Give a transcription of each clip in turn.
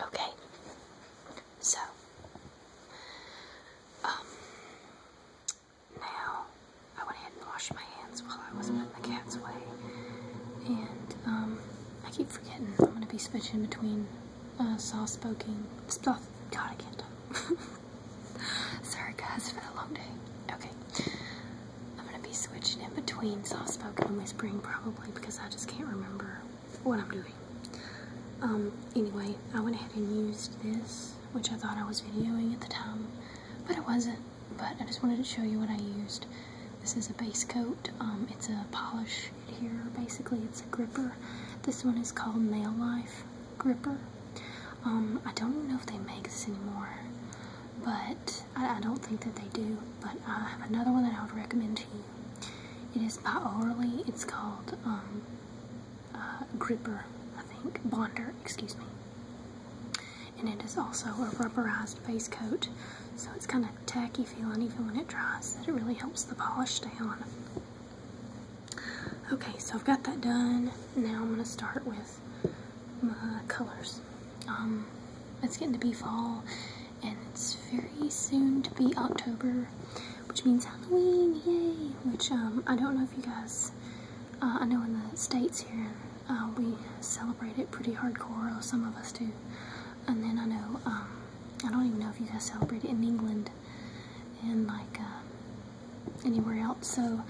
Okay, so um, now I went ahead and washed my hands while I was putting the cats away, and um, I keep forgetting I'm gonna be switching between uh, soft spoken stuff. God, I can't talk. Sorry guys for the long day. Okay, I'm gonna be switching in between soft spoken and whispering probably because I just can't remember what I'm doing. Um, anyway, I went ahead and used this, which I thought I was videoing at the time, but it wasn't. But I just wanted to show you what I used. This is a base coat. Um, it's a polish adherer. Basically, it's a gripper. This one is called Nail Life Gripper. Um, I don't know if they make this anymore, but I, don't think that they do, but I have another one that I would recommend to you. It is by Orly. It's called um, uh, Gripper, I think. Bonder, excuse me. And it is also a rubberized base coat, so it's kind of tacky feeling even when it dries, it really helps the polish stay on. Okay, so I've got that done. Now I'm going to start with my colors. Um, it's getting to be fall, and it's very soon to be October, which means Halloween, yay! Which, um, I don't know if you guys, uh, I know in the States here, uh, we celebrate it pretty hardcore, some of us do. And then I know, um, I don't even know if you guys celebrate it in England and like, uh, anywhere else. So,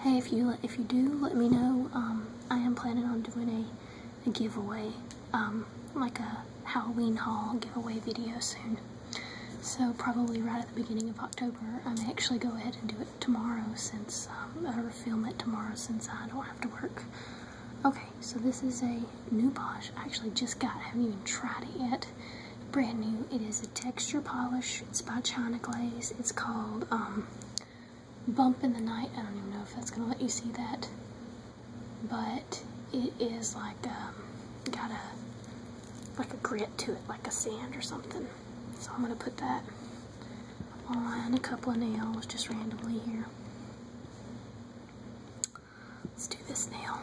hey, if you, if you do, let me know. Um, I am planning on doing a a giveaway, um, like a Halloween haul giveaway video soon. So probably right at the beginning of October. I may actually go ahead and do it tomorrow since, i um, or film it tomorrow since I don't have to work. Okay, so this is a new polish. I actually just got, I haven't even tried it yet. Brand new. It is a texture polish. It's by China Glaze. It's called, um, bump in the night. I don't even know if that's going to let you see that. But it is like um, got a like a grit to it, like a sand or something. So I'm going to put that on a couple of nails just randomly here. Let's do this nail.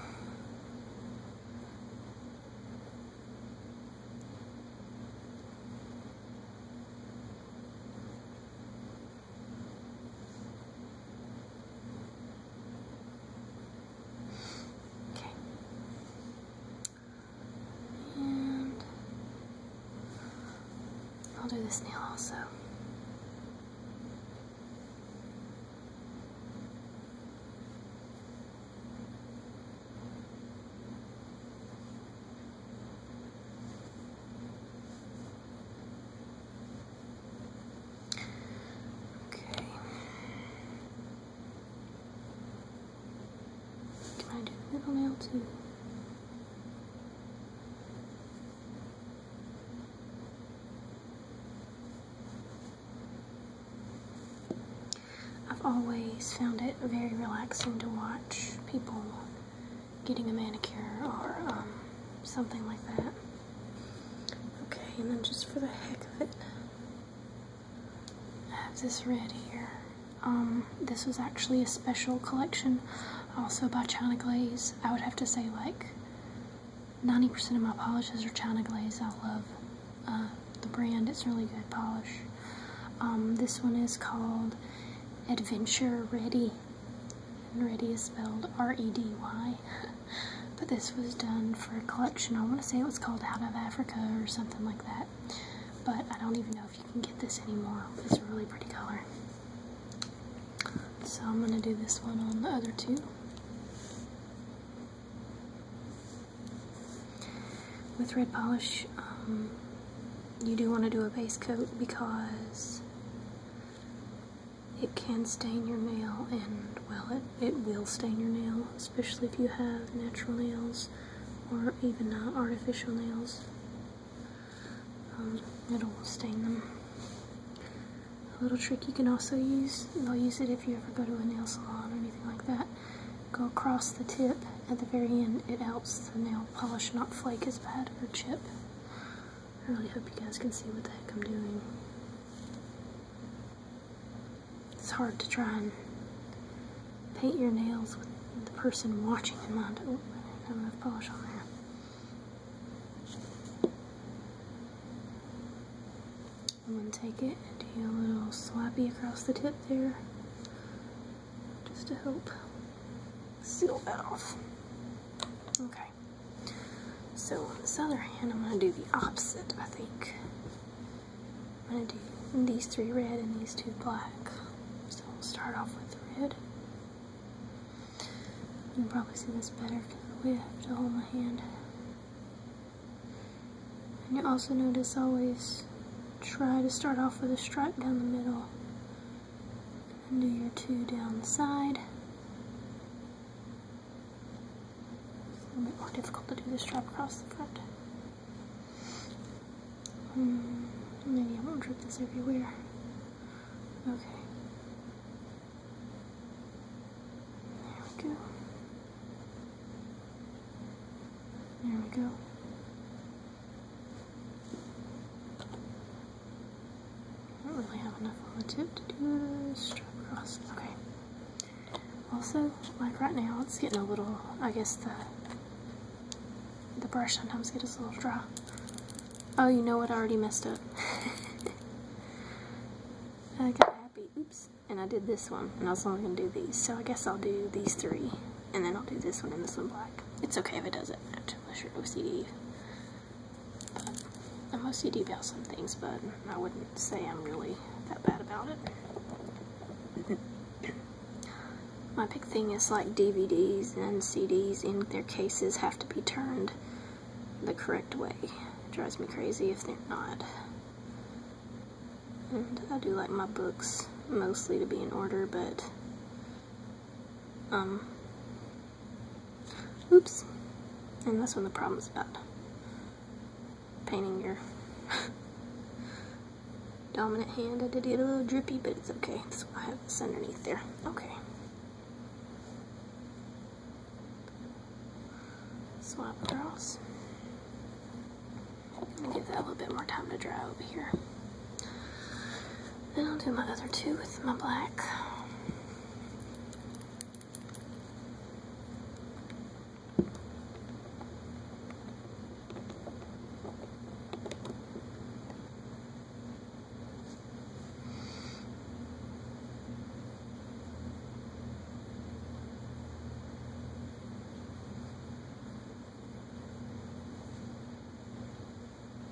Okay. And I'll do this nail also. Okay. Can I do the middle nail too? I've always found it very relaxing to watch people getting a manicure or um, something like that. Okay, and then just for the heck of it, I have this red here. Um, this was actually a special collection, also by China Glaze. I would have to say like 90% of my polishes are China Glaze. I love uh, the brand. It's really good polish. Um, this one is called Adventure Ready and Reddy is spelled R-E-D-Y. but this was done for a collection. I want to say it was called Out of Africa or something like that. But I don't even know if you can get this anymore. It's a really pretty color. So I'm going to do this one on the other two. With red polish, um, you do want to do a base coat because it can stain your nail and well it, it will stain your nail especially if you have natural nails or even uh, artificial nails um, it'll stain them a little trick you can also use they'll use it if you ever go to a nail salon or anything like that go across the tip at the very end it helps the nail polish not flake as bad or chip I really hope you guys can see what the heck I'm doing. It's hard to try and paint your nails with the person watching in mind. Oh, I don't have enough polish on there. I'm going to take it and do a little slappy across the tip there, just to help seal that off. Okay. So on this other hand, I'm going to do the opposite, I think. I'm going to do these three red and these two black. So we'll start off with the red. You probably see this better because of I have to hold my hand. And you also notice always try to start off with a stripe down the middle and do your two down the side. a little bit more difficult to do the strap across the front. Hmm, maybe I won't drip this everywhere. Okay. There we go. There we go. I don't really have enough on the tip to do a strip across. Okay. Also, like right now, it's getting a little, I guess the the brush sometimes gets a little dry. Oh, you know what? I already messed up. I got happy. Oops. And I did this one, and I was only going to do these. So I guess I'll do these three, and then I'll do this one and this one black. It's okay if it doesn't match, unless you're OCD. I mostly do about some things, but I wouldn't say I'm really that bad about it. My big thing is like DVDs and CDs in their cases have to be turned the correct way. drives me crazy if they're not. And I do like my books mostly to be in order, but um, Oops. And that's when the problem's bad. painting your dominant hand. I did get a little drippy, but it's okay. So I have this underneath there. Okay. Swap across. give that a little bit more time to dry over here. Then I'll do my other two with my black.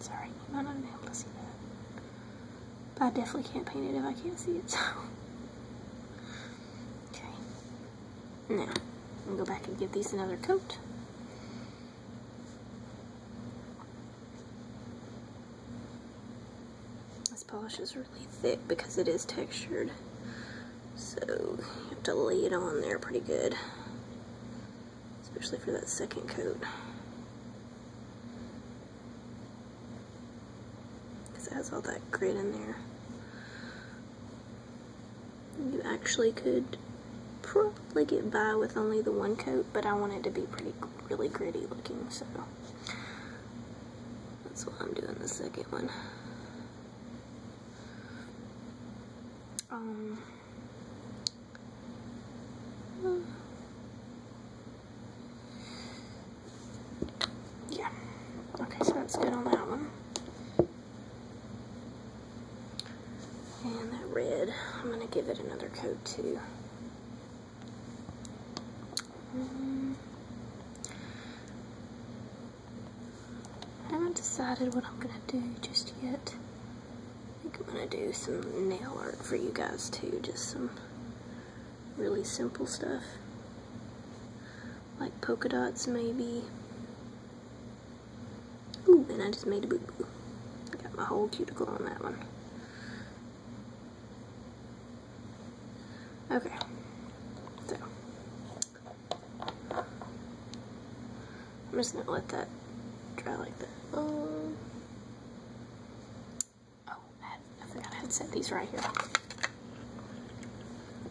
Sorry, you might not be able to see that. But I definitely can't paint it if I can't see it, okay. Now, I'm gonna go back and give these another coat. This polish is really thick because it is textured. So you have to lay it on there pretty good, especially for that second coat. Because it has all that grit in there. You actually could probably get by with only the one coat, but I want it to be pretty, really gritty looking, so that's why I'm doing the second one. Um, yeah. Okay, so that's good on that one. And that red, I'm going to give it another coat too. Um, I haven't decided what I'm gonna do just yet. I think I'm gonna do some nail art for you guys too, just some really simple stuff. Like polka dots maybe. Ooh, and I just made a boo-boo. got my whole cuticle on that one. Okay. I'm just gonna let that dry like that. Um, oh, I, had, I had set these right here.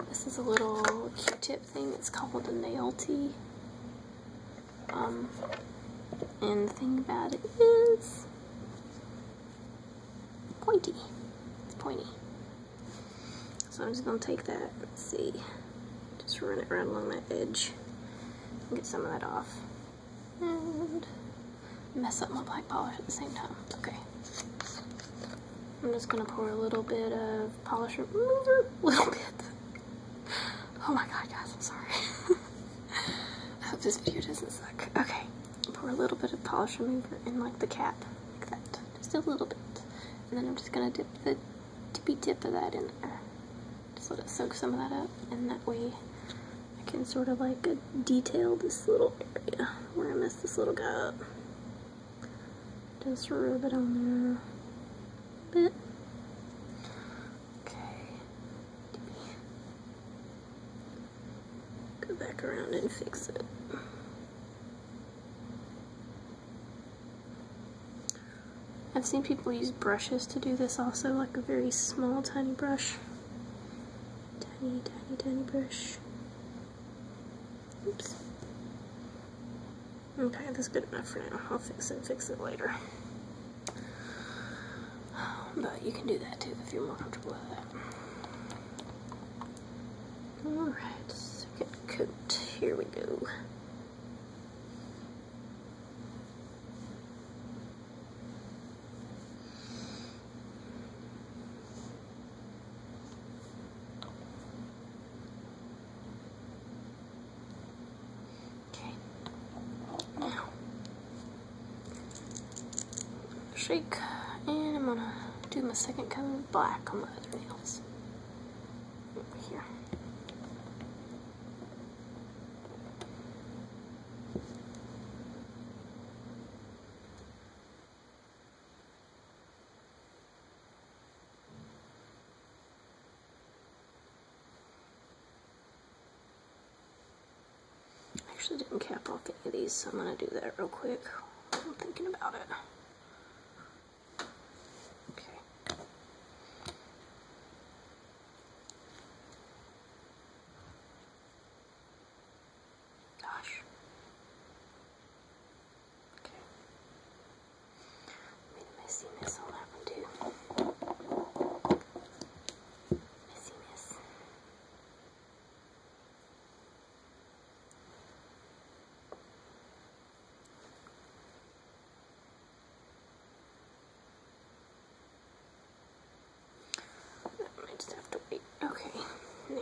This is a little Q-tip thing. It's called a nail tee. Um, and the thing about it is pointy. pointy. So I'm just gonna take that, let's see, just run it right along that edge and get some of that off. And mess up my black polish at the same time. Okay. I'm just gonna pour a little bit of polish remover, little bit. Oh my god, guys, I'm sorry. I hope this video doesn't suck. Okay, pour a little bit of polish remover in like the cap, like that, just a little bit. And then I'm just gonna dip the tippy tip of that in there. Just let it soak some of that up, and that way I can sort of like detail this little area where I messed this little guy up. Just rub it on there a bit. Okay. Go back around and fix it. I've seen people use brushes to do this also, like a very small, tiny brush. Tiny, tiny, tiny brush. Oops. Okay, that's good enough for now. I'll fix it fix it later. But you can do that too if you're more comfortable with that. Alright, second coat. Here we go. Okay. Now, shake, and I'm gonna do my second coat of black on my other nails here. I actually didn't cap off any of these, so I'm going to do that real quick I'm thinking about it. Okay. Gosh. Okay. I mean, the messiness will I just have to wait. Okay, now.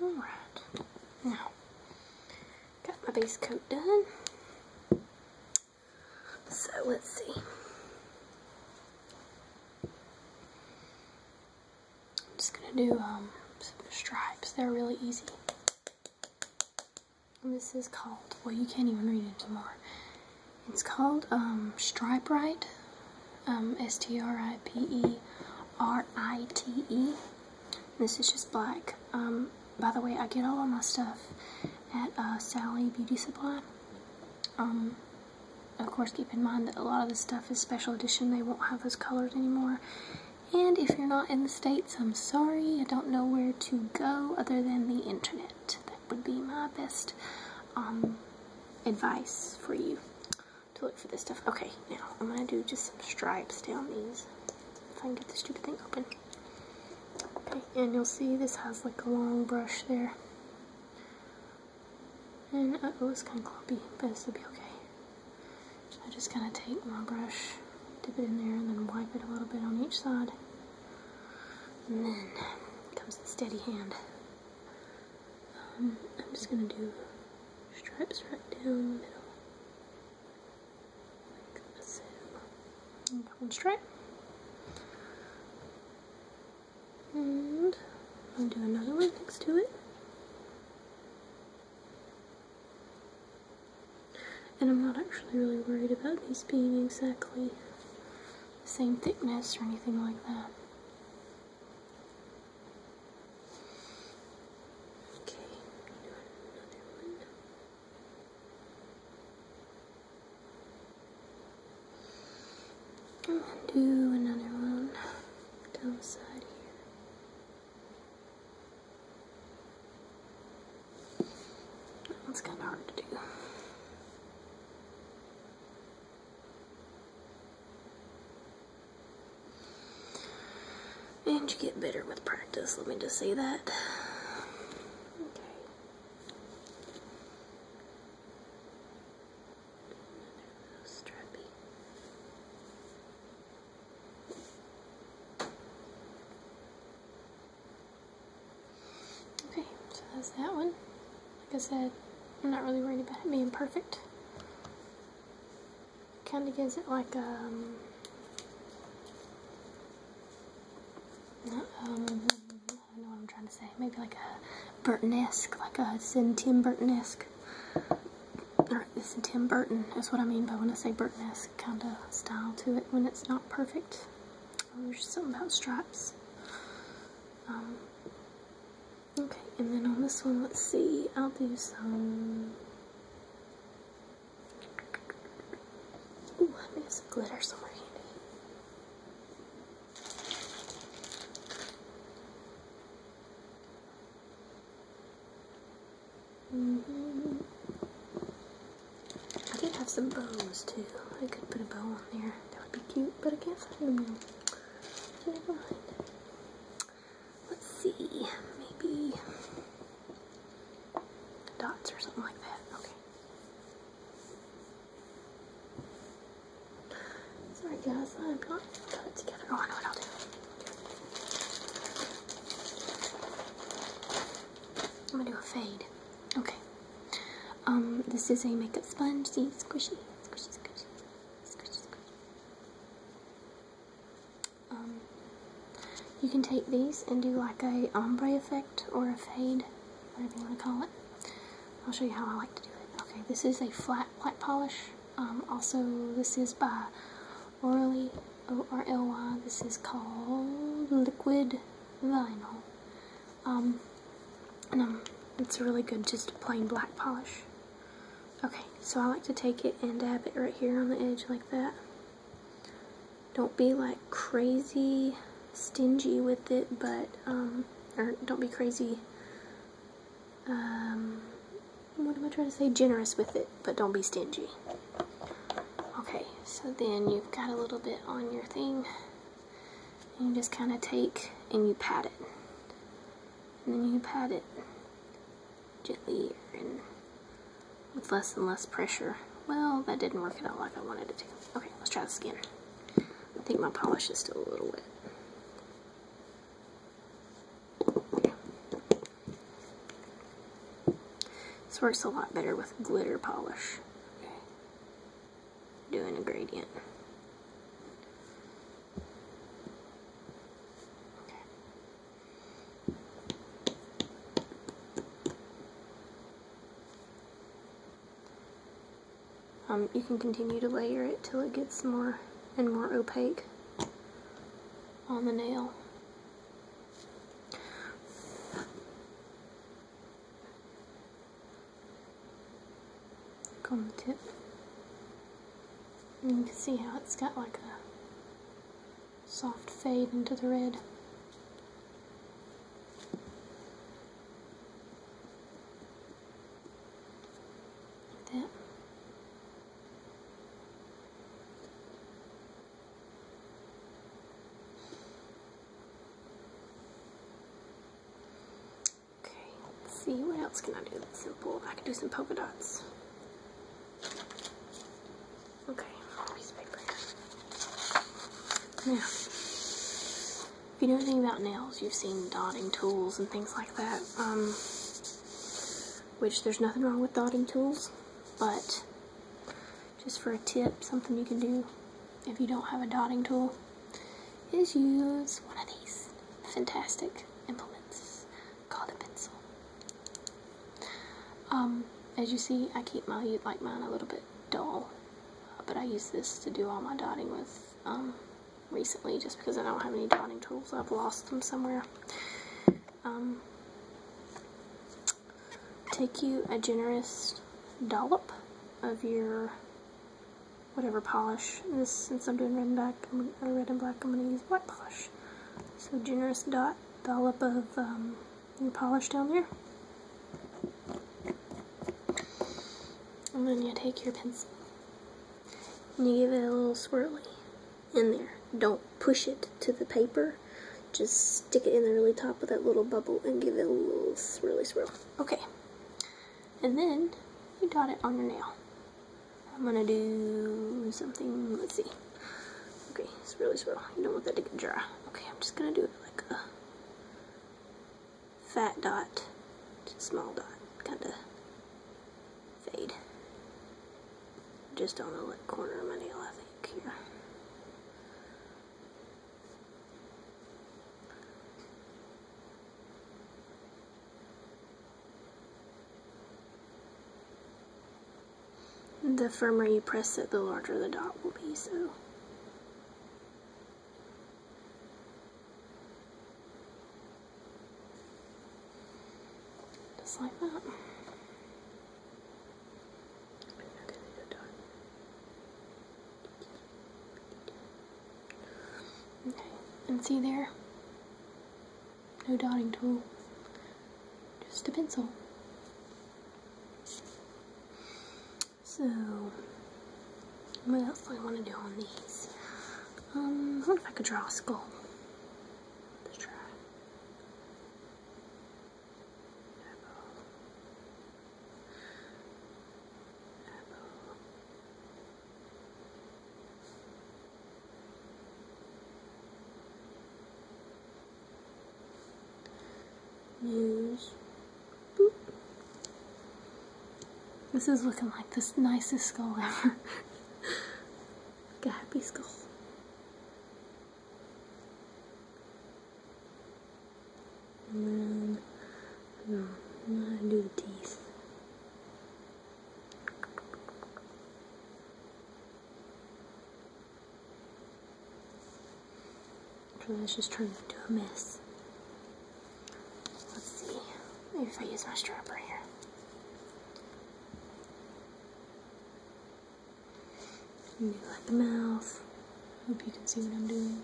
Alright, now, got my base coat done. So let's see. I'm just going to do um, some stripes. They're really easy. This is called, well, you can't even read it anymore. It's called um, Stripe Right, um, S T R I P E R I T E. This is just black. Um, by the way, I get all of my stuff at uh, Sally Beauty Supply. Um, of course, keep in mind that a lot of this stuff is special edition. They won't have those colors anymore. And if you're not in the states. I'm sorry, I don't know where to go other than the internet. That would be my best um, advice for you to look for this stuff. Okay, now I'm gonna do just some stripes down these. If I can get the stupid thing open. Okay, and you'll see this has like a long brush there. And oh, it's kind of clumpy, but this will be okay. I just gonna take my brush dip it in there and then wipe it a little bit on each side. And then comes the steady hand. Um, I'm just going to do stripes right down the middle. that one stripe. And I'll do another one next to it. And I'm not actually really worried about these being exactly the same thickness or anything like that. Okay, another one. do another one down the side here. That's kind of hard to do. And you get better with practice, let me just say that. Okay. Strappy. Okay, so that's that one. Like I said, I'm not really worried about it being perfect. Kind of gives it like um, um I don't know what I'm trying to say. Maybe like a Burton-esque, like a Tim Burton-esque. Or this Tim Burton That's what I mean by when I say Burton-esque kind of style to it when it's not perfect straps. Oh, there's something about straps. Um, okay, and then on this one, let's see. I'll do some. Ooh, me think some glitter somewhere handy. Mm-hmm. I did have some bows too. I could put a bow on there. That would be cute, but I can't find them now. Let's see. Maybe dots or something like that. Okay. Sorry guys, I'm not put it together. Oh, I know I'm gonna do a fade. Okay. Um, this is a makeup sponge. See, squishy, squishy, squishy, squishy, squishy. Um, you can take these and do like a ombre effect or a fade, whatever you want to call it. I'll show you how I like to do it. Okay, this is a flat flat polish. Um, also, this is by Orally O R L Y. This is called Liquid Vinyl. Um, and um, it's really good, just plain black polish. Okay, so I like to take it and dab it right here on the edge like that. Don't be like crazy stingy with it, but, um, or don't be crazy, um, what am I trying to say? Generous with it, but don't be stingy. Okay, so then you've got a little bit on your thing. And you just kind of take and you pat it. And then you pat it gently and with less and less pressure. Well, that didn't work out like I wanted it to. Okay, let's try the again. I think my polish is still a little wet. This works a lot better with glitter polish. Doing a gradient. Um, you can continue to layer it till it gets more and more opaque on the nail on the tip. And you can see how it's got like a soft fade into the red. Like Okay, see, what else can I do simple? I can do some polka dots. Okay, piece of paper. Now, if you know anything about nails, you've seen dotting tools and things like that. Um, which there's nothing wrong with dotting tools, but just for a tip, something you can do if you don't have a dotting tool, is use one of these fantastic implements called a pencil. Um, as you see, I keep my like mine a little bit dull, but I use this to do all my dotting with um, recently, just because I don't have any dotting tools. I've lost them somewhere. Um, take you a generous dollop of your whatever polish. This, since I'm doing red and black, I'm, or red and black, I'm going to use white polish. So generous dot dollop of your um, polish down there. And then you take your pencil and you give it a little swirly in there. Don't push it to the paper just stick it in the really top of that little bubble and give it a little swirly swirl. Okay. And then you dot it on your nail. I'm gonna do something, let's see. Okay, it's really swirl. You don't want that to get dry. Okay, I'm just gonna do it like a fat dot, small dot, kinda fade. Just on the corner of my nail, I think, here. The firmer you press it, the larger the dot will be, so. Just like that. Okay, and see there? No dotting tool, just a pencil. So, what else do I want to do on these? Um, I wonder if I could draw a skull. Let's try. Muse. This is looking like the nicest skull ever. a happy skull. And then, no, I'm gonna do the teeth. let's just try to do a mess. Let's see if I use my stripper here. Maybe like the mouth. Hope you can see what I'm doing.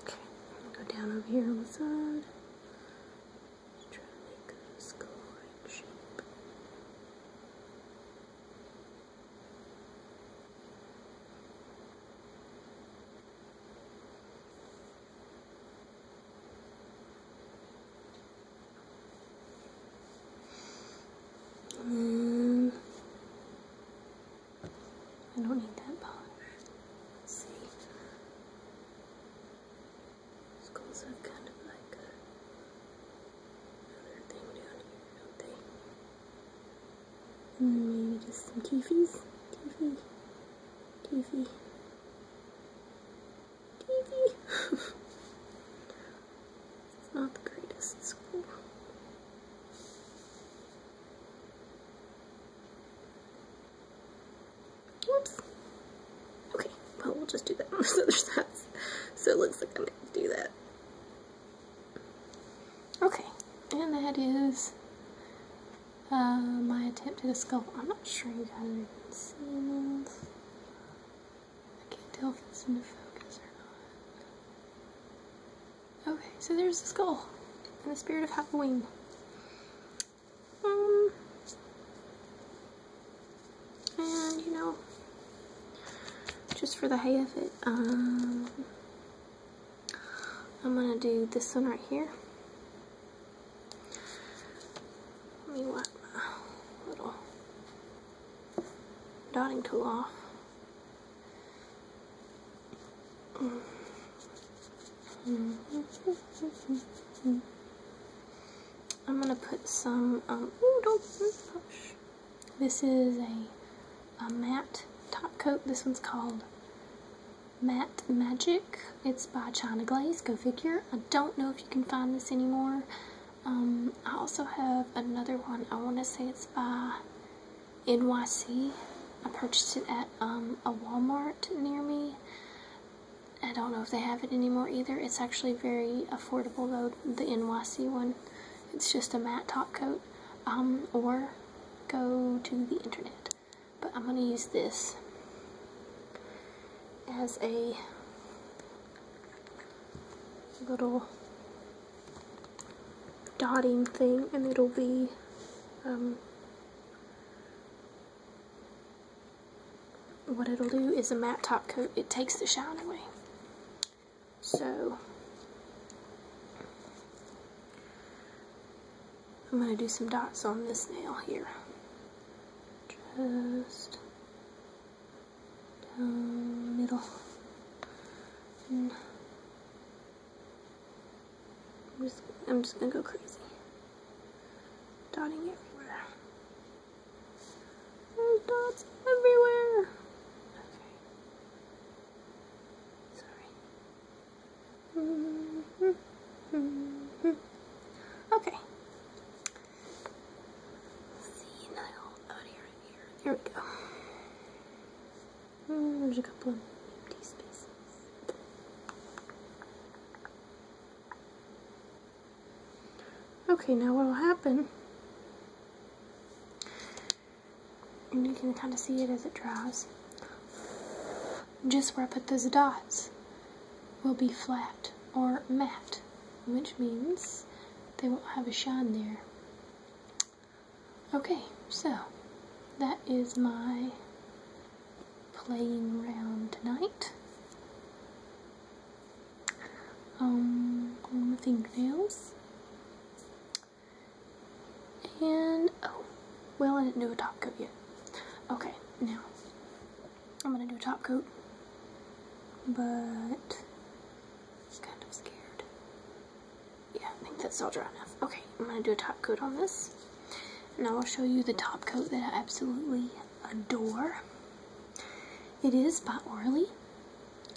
Okay, go down over here on the side. Um, I don't need that polish. Let's see. Skulls have kind of like a thing down here, don't they? And then maybe just some teefies. Teefy. Teefy. Teefy. it's not the greatest school. Whoops. Okay, well we'll just do that on the other side. So it looks like I'm gonna do that. Okay, and that is uh, my attempt at a skull. I'm not sure you guys can see this. I can't tell if it's in focus or not. Okay, so there's a skull in the spirit of Halloween. Um, and, you know, just for the hay of it, um, I'm going to do this one right here. Let me wipe my little dotting tool off. Mm. I'm going to put some, um, ooh, don't push. This is a, a matte top coat. This one's called Matte Magic. It's by China Glaze. Go figure. I don't know if you can find this anymore. Um, I also have another one. I want to say it's by NYC. I purchased it at um, a Walmart near me. I don't know if they have it anymore either. It's actually very affordable though, the NYC one. It's just a matte top coat. Um, or go to the internet. But I'm going to use this as a little dotting thing and it'll be um, what it'll do is a matte top coat. It takes the shine away. So I'm going to do some dots on this nail here. Just down middle. I'm just going to go crazy. Dotting everywhere. Oh, there's dots everywhere. Okay. Sorry. Hmm. Okay. See Nile out here and here. we go. Mm, there's a couple of empty spaces. Okay, now what will happen, and you can kind of see it as it dries, just where I put those dots will be flat or matte, which means they won't have a shine there. Okay, so that is my playing round tonight um, on the fingernails. And, oh, well, I didn't do a top coat yet. Okay, now, I'm gonna do a top coat, but I'm kind of scared. Yeah, I think that's all dry enough. Okay, I'm gonna do a top coat on this, and I will show you the top coat that I absolutely adore. It is by Orly.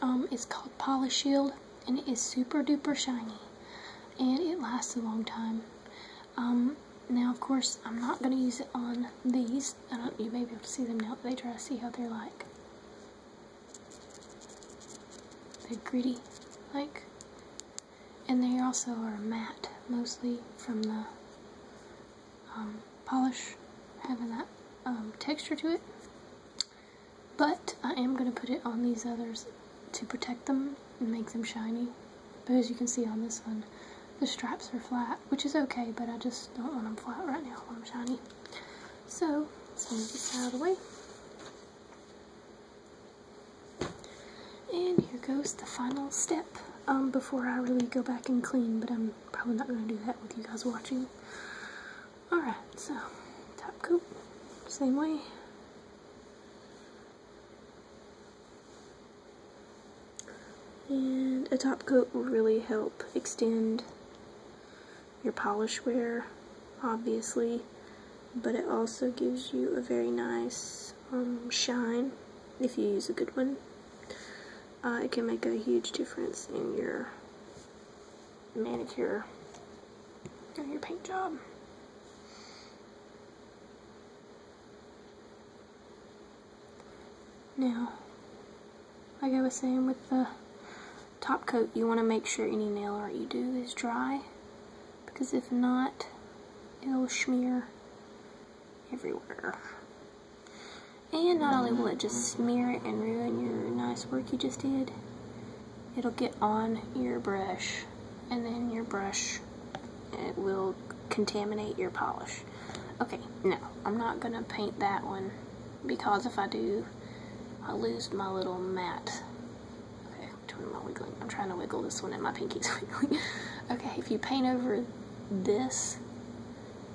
Um, it's called Polish Shield and it is super duper shiny and it lasts a long time. Um, now, of course, I'm not going to use it on these. you may be able to see them now they try see how they're like. They're gritty, like. And they also are matte, mostly from the um, polish having that um, texture to it. But I am going to put it on these others to protect them and make them shiny. But as you can see on this one, the straps are flat, which is okay, but I just don't want them flat right now I want them shiny. So, let's move this out of the way. And here goes the final step um, before I really go back and clean, but I'm probably not going to do that with you guys watching. Alright, so top coat, same way. And a top coat will really help extend your polish wear, obviously, but it also gives you a very nice um, shine if you use a good one. Uh, it can make a huge difference in your manicure your paint job. Now, like I was saying with the top coat, you want to make sure any nail art you do is dry because if not, it'll smear everywhere. And not only will it just smear it and ruin your nice work you just did, it'll get on your brush and then your brush it will contaminate your polish. Okay, no, I'm not going to paint that one because if I do, I lose my little mat. Okay, doing my wiggling. I'm trying to wiggle this one and my pinky's wiggling. okay, if you paint over this,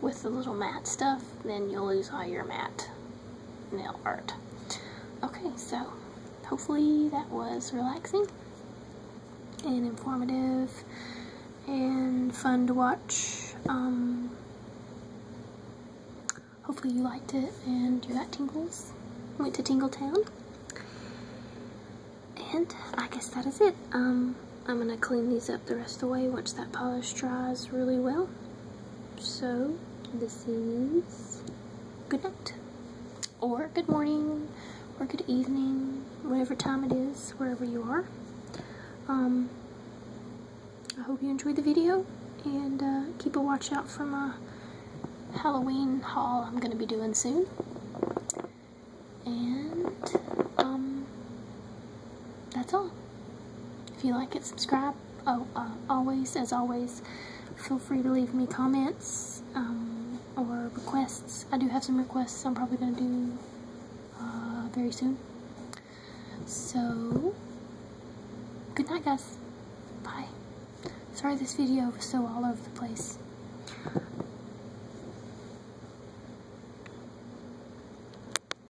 with the little matte stuff, then you'll lose all your matte nail art. Okay, so hopefully that was relaxing and informative and fun to watch. Um, hopefully you liked it and you got tingles. Went to Tingle Town, And I guess that is it. Um, I'm going to clean these up the rest of the way once that polish dries really well. So this is good night or good morning or good evening, whatever time it is, wherever you are. Um, I hope you enjoyed the video and uh, keep a watch out for my Halloween haul I'm going to be doing soon. And um, that's all. If you like it, subscribe. Oh, uh, always, as always, feel free to leave me comments um, or requests. I do have some requests I'm probably going to do uh, very soon. So, good night, guys. Bye. Sorry this video was so all over the place.